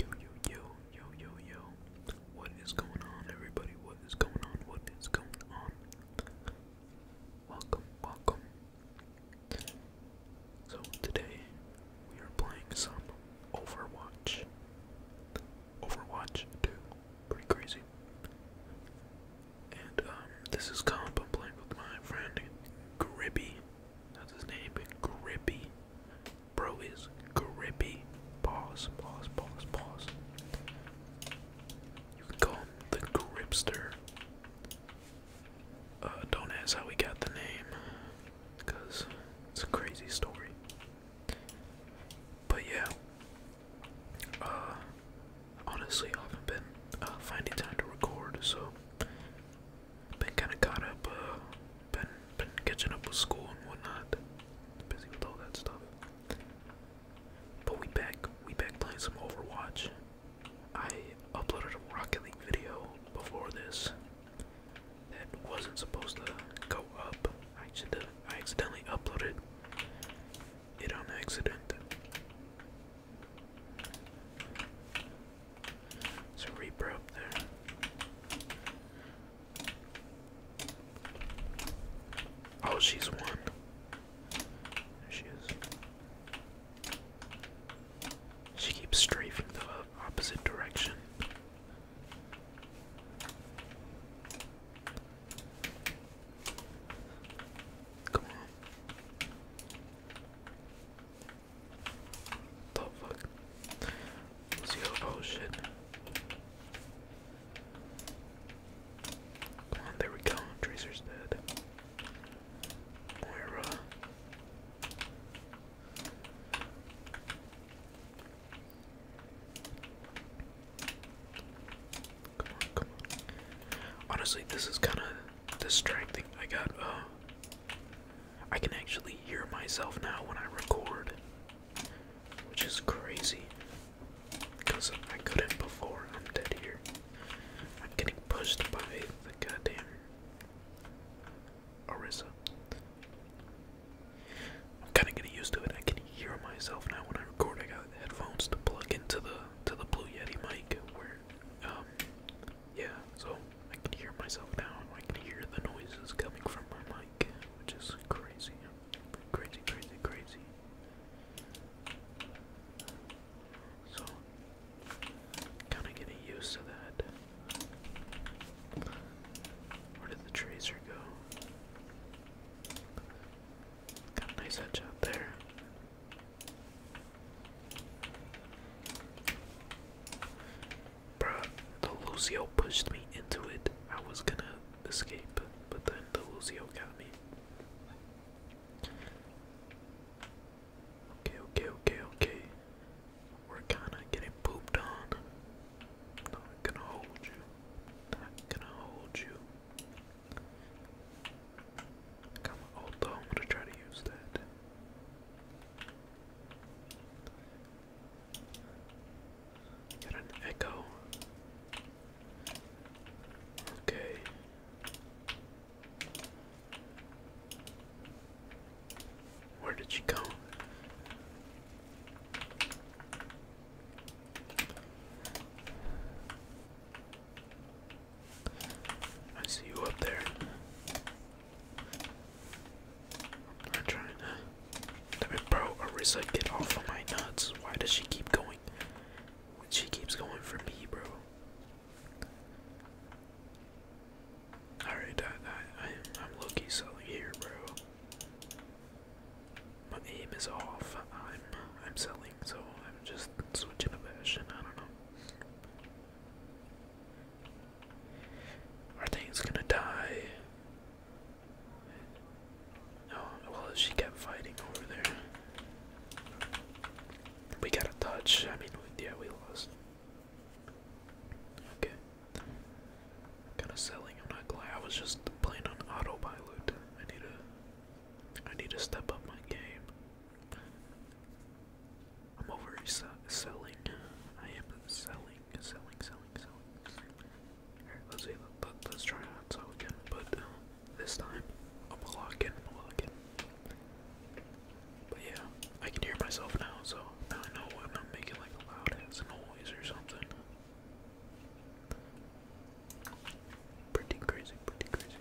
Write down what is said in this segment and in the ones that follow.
Yo, yo, yo, yo, yo, yo. What is going on, everybody? What is going on? What is going on? Welcome, welcome. So, today we are playing some Overwatch. Overwatch 2. Pretty crazy. And, um, this is comp. playing with my friend Gribby. That's his name. Grippy. Bro is grippy. Pause, pause, pause, pause. You can call him the gripster. Uh, don't ask how we got the name, because it's a crazy story. But yeah, uh, honestly, I haven't been uh, finding time to record, so been kind of caught up, uh, been been catching up with school and whatnot. Busy with all that stuff. But we back, we back playing some Overwatch. I uploaded a Rocket League video before this that wasn't supposed to go up. I accidentally, I accidentally uploaded it on accident. It's a Reaper up there. Oh, she's one. There she is. She keeps strafing the opposite direction. Come on. The fuck? Zero potion. Come on, there we go. Tracer's dead. Moira. Come on, come on. Honestly, this is kind of distracting. I got, uh, I can actually hear myself now when I record, which is crazy. Because I couldn't before. I'm dead here. I'm getting pushed by the goddamn Orisa. I'm kind of getting used to it. I can hear myself now when I record. I got headphones to plug into the to the Blue Yeti mic, where um, yeah, so I can hear myself now. I can hear the noises coming from my mic, which is crazy, crazy, crazy, crazy. So, kind of getting used to that. Where did the tracer go? Got a nice edge out there. Bruh, the Lucio pushed me into it. I was gonna escape, but then the Lucio got me. Okay, okay, okay, okay. We're kinda getting pooped on. Not gonna hold you. Not gonna hold you. Come on, although I'm gonna try to use that. Got an echo. Okay. Where did she go? I see you up there. I'm trying to. I mean, bro, Arisa, get off of my nuts. Why does she keep going? she keeps going for me, bro. Alright, I, I, I, I'm low selling here, bro. My aim is off. I'm, I'm selling, so I'm just switching a fashion. I don't know. Are things gonna die? No, well, she kept fighting over there. We got a touch. I mean, yeah, we lost. Okay. Kind of selling. I'm not glad. I was just playing on autopilot. I need to. I need to step up my game. I'm over selling. I am selling, selling, selling, selling. Alright, let's see. Let, let, let's try not sell again, but uh, this time I'm gonna log in. I'm log in. But yeah, I can hear myself now, so now I know I'm not making like a loud ass noise or something. Pretty crazy, pretty crazy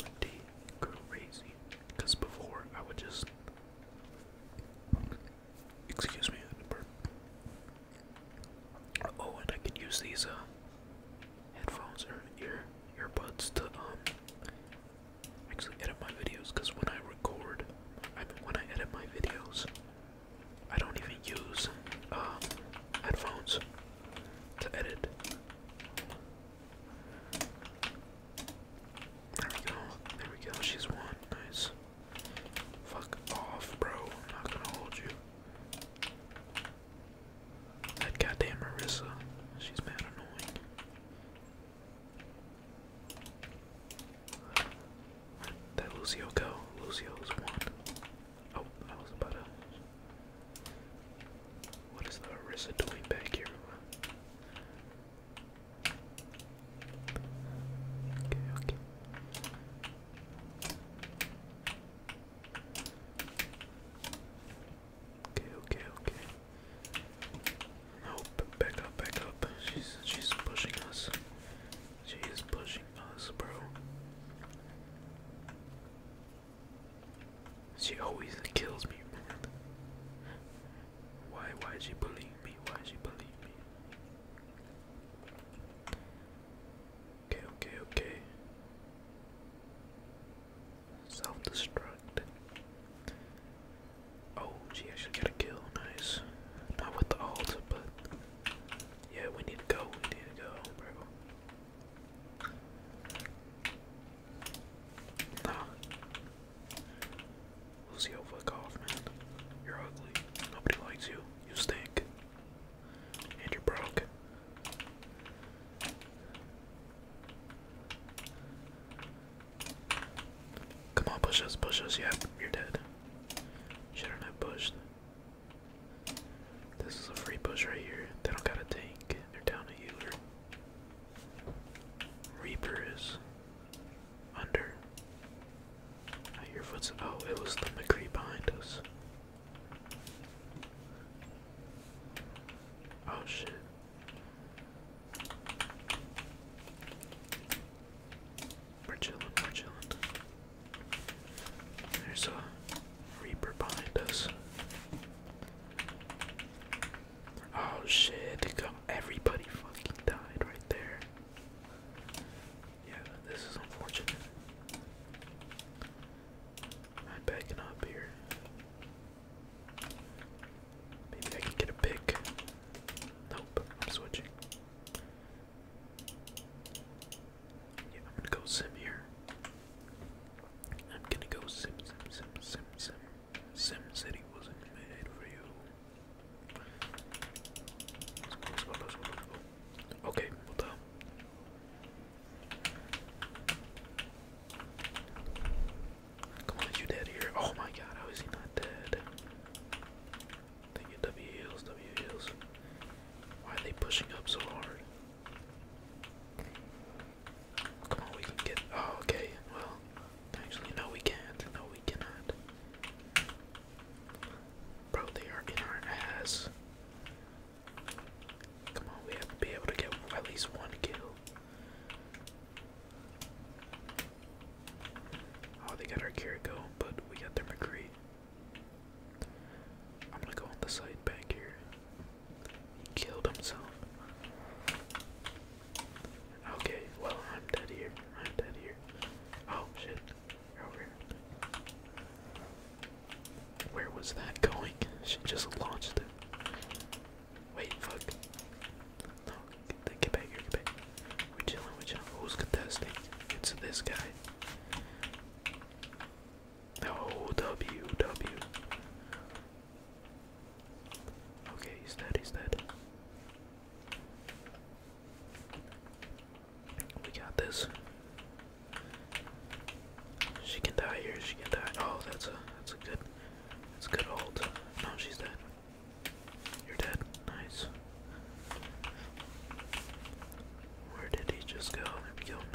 pretty crazy. Because before I would just. Excuse me, burp. Oh, and I can use these uh, headphones or ear earbuds to um actually edit my videos. Because when I record, I mean, when I edit my videos, I don't even use uh headphones to edit. There we go. There we go. She's won. Nice. Fuck off, bro. I'm not gonna hold you. That goddamn Marissa. She's mad annoying. That Lucio go. Lucio's one. Oh, I was about to. What is the Arissa doing back here? Okay, okay. Okay, okay, okay. Nope, back up, back up. She's she's pushing us. She is pushing us, bro. She always kills me, Why, why she believe me? Why she believe me? Okay, okay, okay. Self-destruct. Oh, she actually got a kill. Nice. Not with the alt, but yeah, we need to go. We need to go, bro. Nah. Lucio, fuck off, man. You're ugly. Nobody likes you. You stink. And you're broke. Come on, push us, push us. Yeah, you're dead. Shouldn't have pushed. This is a free push right here. They don't got a tank. They're down a healer. Reaper is under. Ah, your hear foot's oh, it was the McCree behind us. Oh shit. We're chilling, we there's a reaper behind us. Oh shit, come everybody fucking died right there. Yeah, this is unfortunate. I'm backing up here. Maybe I can get a pick. Nope, I'm switching. Yeah, I'm gonna go sim here. I'm gonna go sim, sim, sim, sim, sim. Sim City wasn't made for you. Let's go, let's go, let's go. Okay, what the? Come on, you dead here? Oh my god, how is he not dead? Thank you, W heals, W heals. Why are they pushing up so hard? Come on, we can get. Oh, okay. Well, actually, no, we can't. No, we cannot. Bro, they are in our ass. Come on, we have to be able to get at least one kill. Oh, they got our Kiriko, but we got their McCree. I'm gonna go on the side back here. He killed himself. Okay, well, I'm dead here. I'm dead here. Oh shit. over here. Where was that going? She just launched it. Wait, fuck. No, get, back here, We're chilling, with are Who's contesting? It's this guy. Oh, Okay, he's dead, he's dead. We got this. She can die here, she can die. Oh, that's a that's a good that's a good hold. No, she's dead. You're dead. Nice. Where did he just go?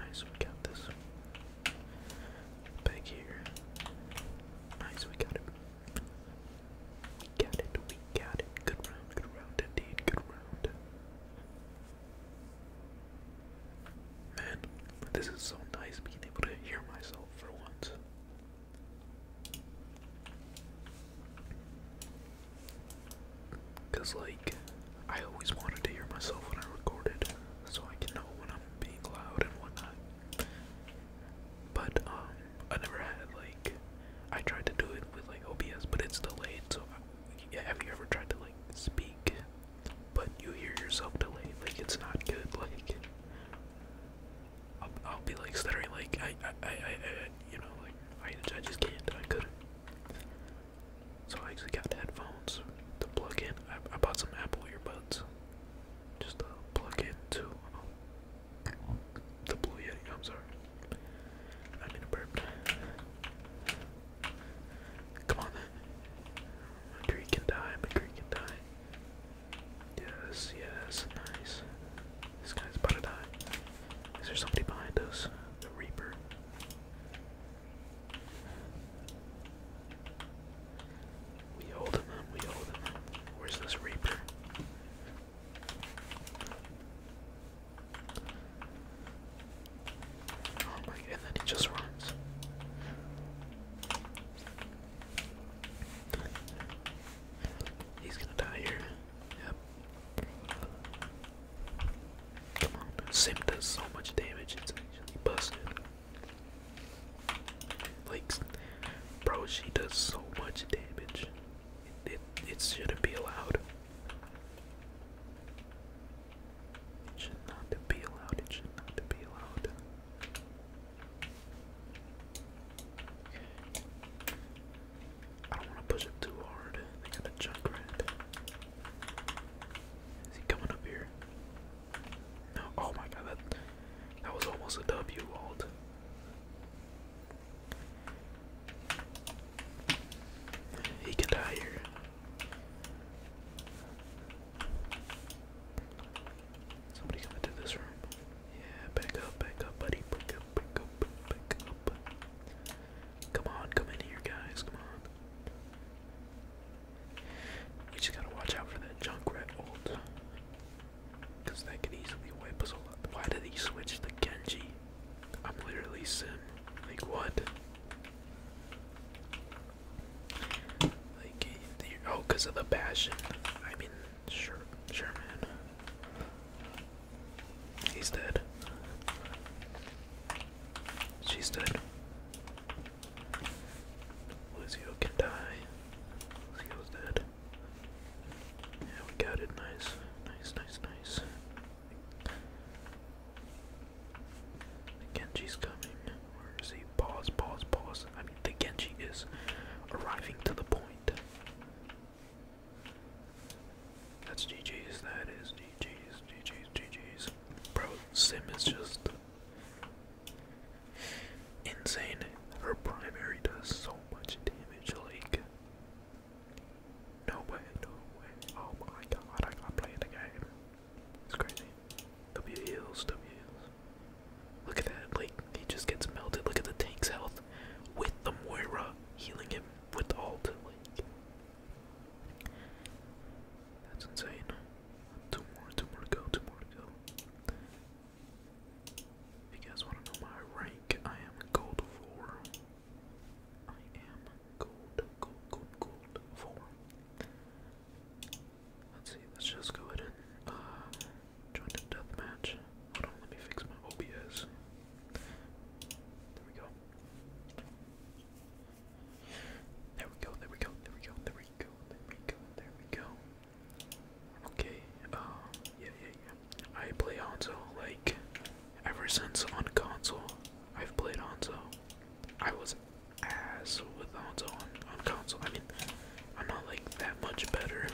Nice, we got this. Back here. Nice, we got it. We got it, we got it. Good round, good round indeed, good round. Man, this is so nice being able to hear myself for once. Cause like I always wanted to hear myself when I recorded, so I can know when I'm being loud and whatnot. But um, I never had like I tried to do it with like OBS, but it's delayed. So I, uh, have you ever tried to like speak, but you hear yourself delayed? Like it's not good. Like I'll, I'll be like stuttering. Like I, I, I, I, you know, like I, I just can't. I couldn't. So I actually got headphones to plug in. I, bought some Apple earbuds just to plug in to the Blue Yeti. I'm sorry. I'm in a burp. Come on A McCree can die. a McCree can die. Yes, yes, nice. This guy's about to die. Is there somebody behind us? The Reaper. We hold him we hold him Where's this Reaper? Oh my god, and then he just runs. He's gonna die here. Yep. Sim does so much damage, it's busted. Like, bro, she does so much damage. It, it, shouldn't be allowed. should not be allowed. It should not be allowed. I don't want to push him too hard. They got a junk Is he coming up here? No. Oh my god, that that was almost a W alt. He can die here. Somebody come into this room. Yeah, back up, back up, buddy. Back up, back up, back up. Come on, come in here, guys. Come on. We just gotta watch out for that junk rat ult. that could easily wipe us all up. Why did he switch to Genji? I'm literally Sim. Like, what? Like, oh, because of the passion. I mean, sure, sure, man. He's dead. She's dead. Lucio can die. Lucio's dead. Yeah, we got it. Nice. Nice, nice, nice. Genji's coming. Where is he? Pause, pause, pause. I mean, the Genji is arriving to the point. That's GG's, that is GG's, GG's, GG's. Bro, Sim is just insane. Her primary does so much damage, like no way, no way. Oh my god, I am playing the game. It's crazy. W heals, W heals. Look at that, like he just gets melted. Look at the tank's health with the Moira healing him with the ult. Like that's insane. Two more, two more to go, two more to go. If you guys want to know my rank, I am gold four. I am gold, gold, gold, gold four. Let's see, let's just go ahead and uh, join the deathmatch. Hold on, let me fix my OBS. There we go. There we go, there we go, there we go, there we go, there we go, there we go. Okay, um, yeah, yeah, yeah. I play Hanzo, like, ever since on console, I've played Hanzo. I was ass with Hanzo on, on console. I mean, I'm not, like, that much better.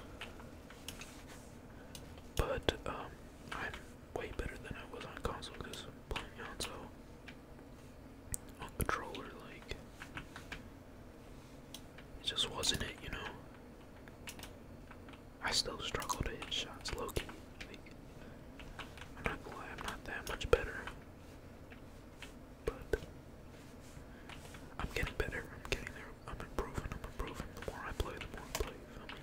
But, um, I'm way better than I was on console because playing console on controller like it just wasn't it, you know. I still struggle to hit shots low Like I'm not gonna lie, I'm not that much better. But I'm getting better. I'm getting there. I'm improving. I'm improving. The more I play, the more I play. You feel me?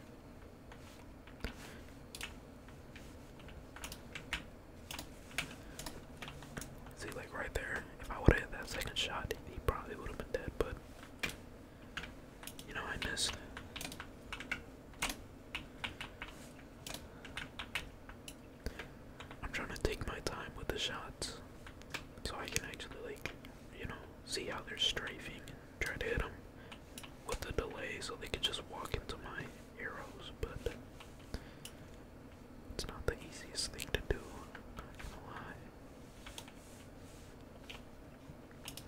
See, like right there, if I would have hit that second shot, he probably would have been dead, but you know, I missed. I'm trying to take my time with the shots so I can actually, like, you know, see how they're strafing Try to hit them with the delay so they could just walk into my arrows, but it's not the easiest thing to do. i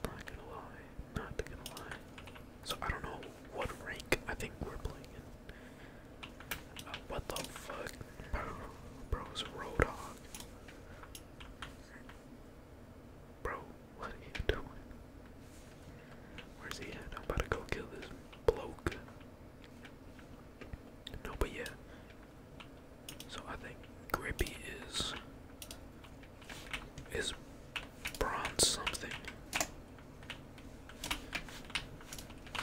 not gonna lie. Not gonna lie. Not gonna lie. So I don't know what rank I think we're playing uh, what the fuck? bro's Roadhog. Bro, what are you doing? Where's he at? I'm about to go kill this bloke. No, but yeah. So I think Grippy is is bronze something.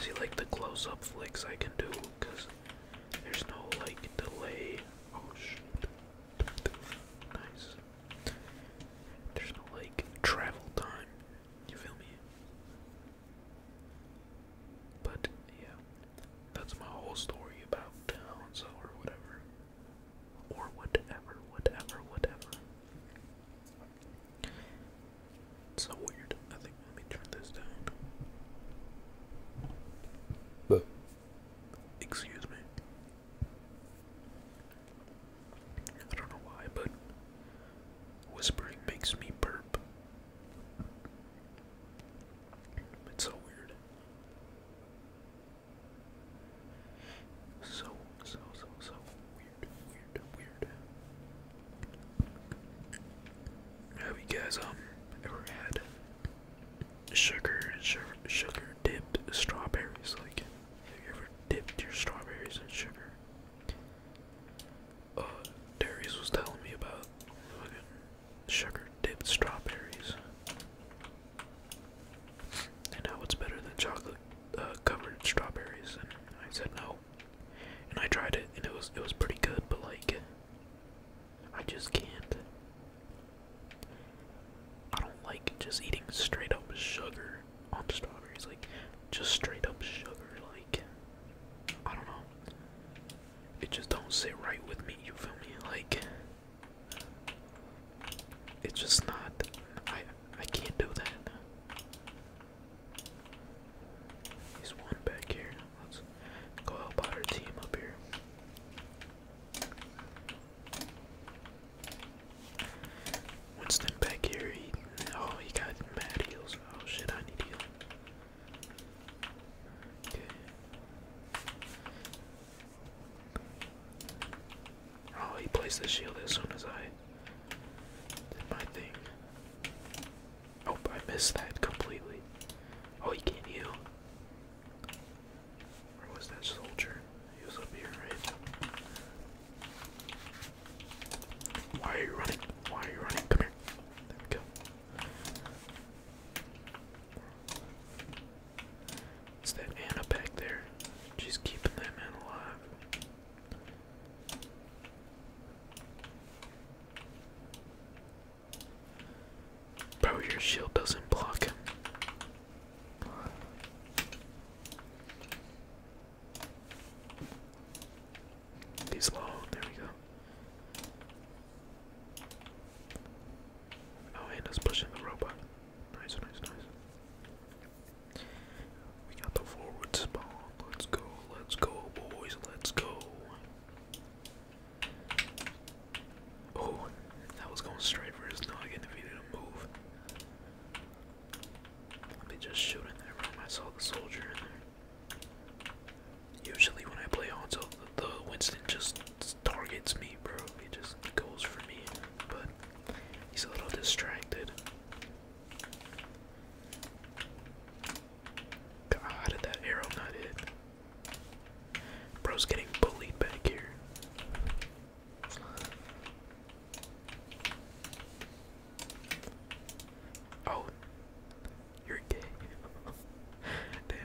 See, like the close-up flicks I can do, cause there's no like delay. Oh shit. Nice. There's no like travel time. You feel me? But yeah, that's my whole story about towns or whatever, or whatever, whatever, whatever. so weird. I think let me turn this down. Excuse me. I don't know why, but whispering makes me burp. It's so weird. So, so, so, so weird, weird, weird. Have you guys um ever had sugar, sugar, sugar dipped strawberries. Like, have you ever dipped your strawberries in sugar? Uh, Darius was telling me about sugar dipped strawberries and how it's better than chocolate uh, covered strawberries. And I said no, and I tried it, and it was it was pretty good, but like. I just can't. I don't like just eating straight up sugar on strawberries, like just straight up sugar, like I don't know. It just don't sit right with me, you feel me? Like it's just not I I can't do that. He's one back here. Let's go help our team up here. Winston back here, oh, he got mad heels. Oh shit, I need heal. Oh, he placed the shield as soon as I did my thing. Oh, I missed that completely. Oh, he gave you. Where was that soldier? He was up here, right? Why are you running? Why are you running? Come here. There we go. It's that Anna back there. She's keeping that man alive. Bro, your shield doesn't block. He's low, there we go. Oh, and it's pushing the robot. Nice, nice, nice. We got the forward spawn. Let's go, let's go, boys, let's go. Oh, that was going straight for his noggin if he didn't move. Let just shoot in there. I saw the soldier in there. Usually when I play Hanzo, the Winston just targets me, bro. He just goes for me, but he's a little distracted. God, did that arrow not hit? Bro's getting bullied back here. Oh, you're gay. Damn.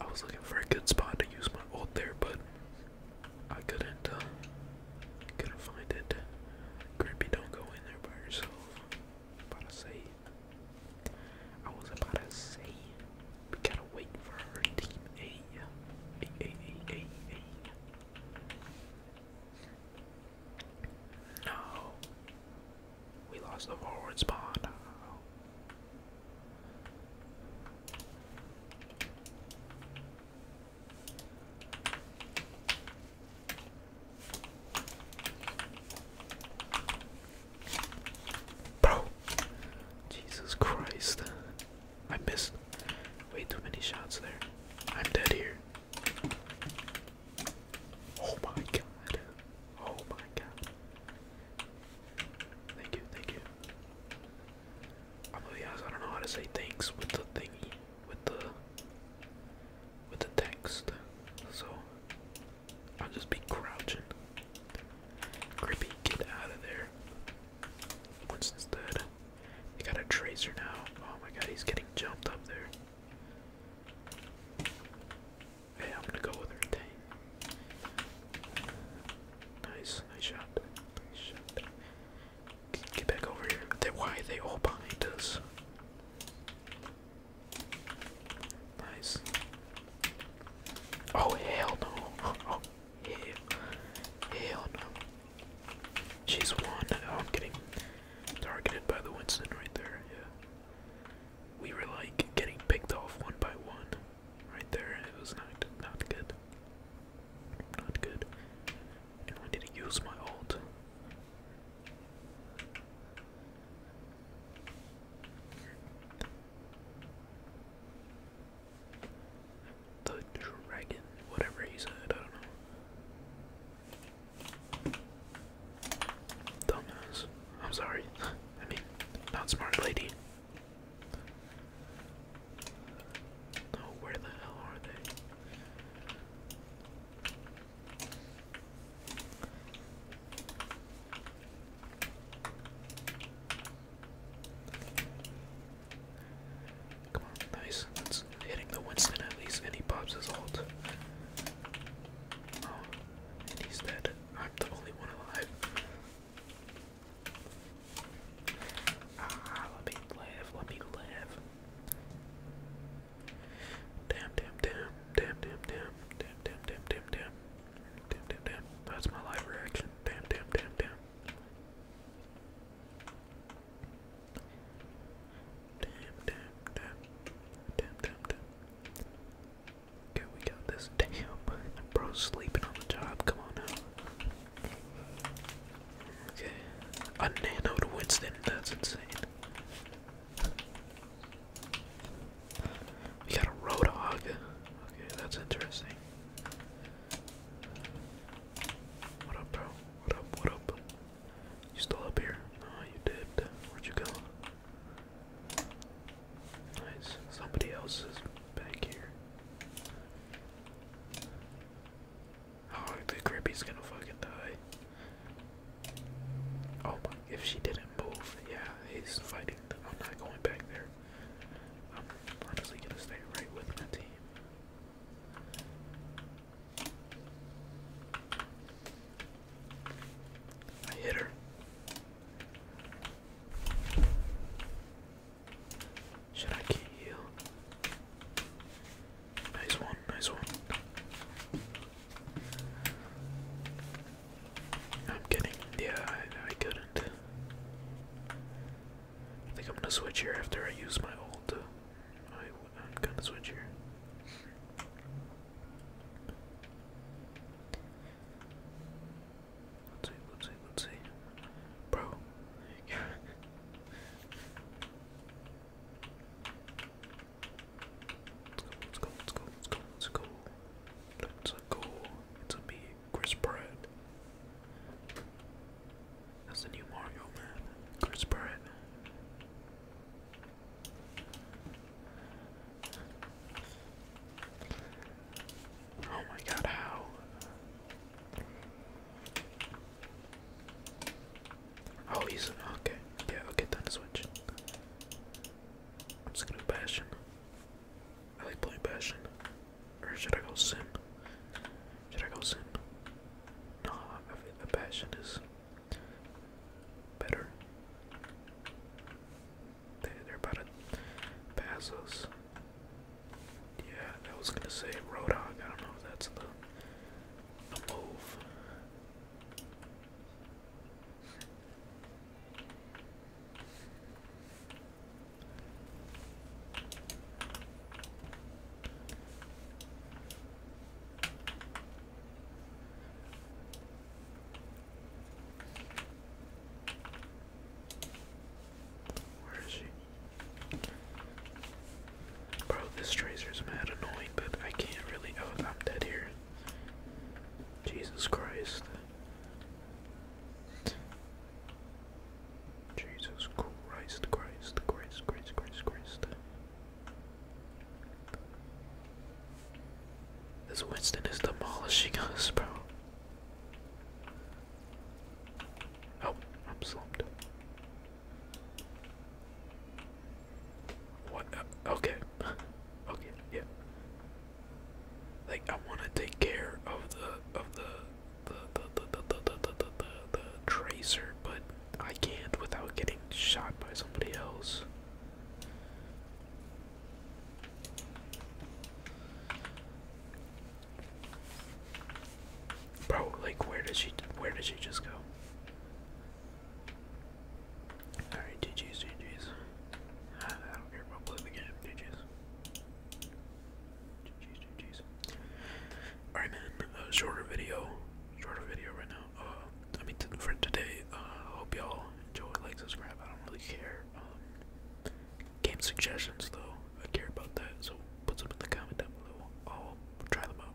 I was looking for a good spot to use my ult there, but I couldn't, uh, couldn't find it. Grimpy, don't go in there by yourself. i about to save. I was about to say we gotta wait for her team No. We lost the forward spawn. Bro! Jesus Christ. I missed way too many shots there. I'm dead here. Oh my god. Oh my god. Thank you, thank you. I'm going I don't know how to say thanks with the thingy, with the with the text. So I'll just be crouching. Creepy, get out of there. Winston's dead. They got a tracer now. Oh my god, he's getting jumped up there. Hey, I'm gonna go with her. Dang. Nice, nice shot. Nice shot. Get back over here. why they all behind us? Nice. Oh hell no. Oh hell. Hell no. She's one. Oh, I'm getting targeted by the Winston right there. Yeah. We were like getting picked off one by one. Right there. It was not not good. Not good. And I didn't use my ult. The dragon, whatever he said, I don't know. Dumbass. I'm sorry. I mean, not smart lady. No, oh, where the hell are they? Come on, nice. That's hitting the Winston at least, and he pops his ult. Oh, and dead. I'm the only one alive. Ah, let me live, let me live. Damn, damn, damn, damn, damn, damn, damn, damn, damn, damn, damn, damn, damn, That's my live reaction. Damn, damn, damn, damn. Damn, damn, damn, damn, damn, Okay, we got this. Damn, bro's sleeping on the job. Come on now. Okay, a nanoed Winston. That's insane. We got a Roadhog. Okay, that's interesting. What up, bro? What up, what up? You still up here? Oh, you did. Where'd you go? Nice. Somebody else is back here. Oh, the Grippy's gonna fucking die. Oh my, if she didn't move, yeah, he's fighting. Them. I'm not going back there. I'm honestly gonna stay right with my team. I hit her. Should I get heal? Nice one, nice one. I'm kidding. Yeah, I, couldn't. I think I'm gonna switch here after I use my old. Uh, I'm gonna switch here. Let's see, let's see, let's see. Bro. Let's go, let's go, let's go, let's go, let's go. Let's go. It's a me, Chris Pratt. That's the new Mario man, Chris Pratt. Oh my god, how? Oh, he's okay. Yeah, I'll get that switch. I'm just gonna Bastion. I like playing passion. Or should I go Sin? Should I go Sin? No, I think the passion is better. They, are about to pass us. Yeah, I was gonna say Roadhog. I don't know if that's the, move. Where is she? Bro, this is mad annoying, but I can't really. Oh, I'm dead here. Jesus Christ. Jesus Christ, Christ, Christ, Christ, Christ, Christ. This Winston is demolishing us, bro. Oh, I'm slumped. What? okay. okay. Yeah. Like I want to take care of the of the the the the the, the, the, the tracer, but I can't without getting shot by somebody else. Bro, like where did she where did she just go? Alright, DGS DGS. I don't care about playing the game, GG's. GG's, GG's. Alright man, uh, shorter video, shorter video right now. Uh, I mean, for today, uh, hope y'all enjoy, like, subscribe, I don't really care. Um, game suggestions though, I care about that, so put some in the comment down below. I'll try them out.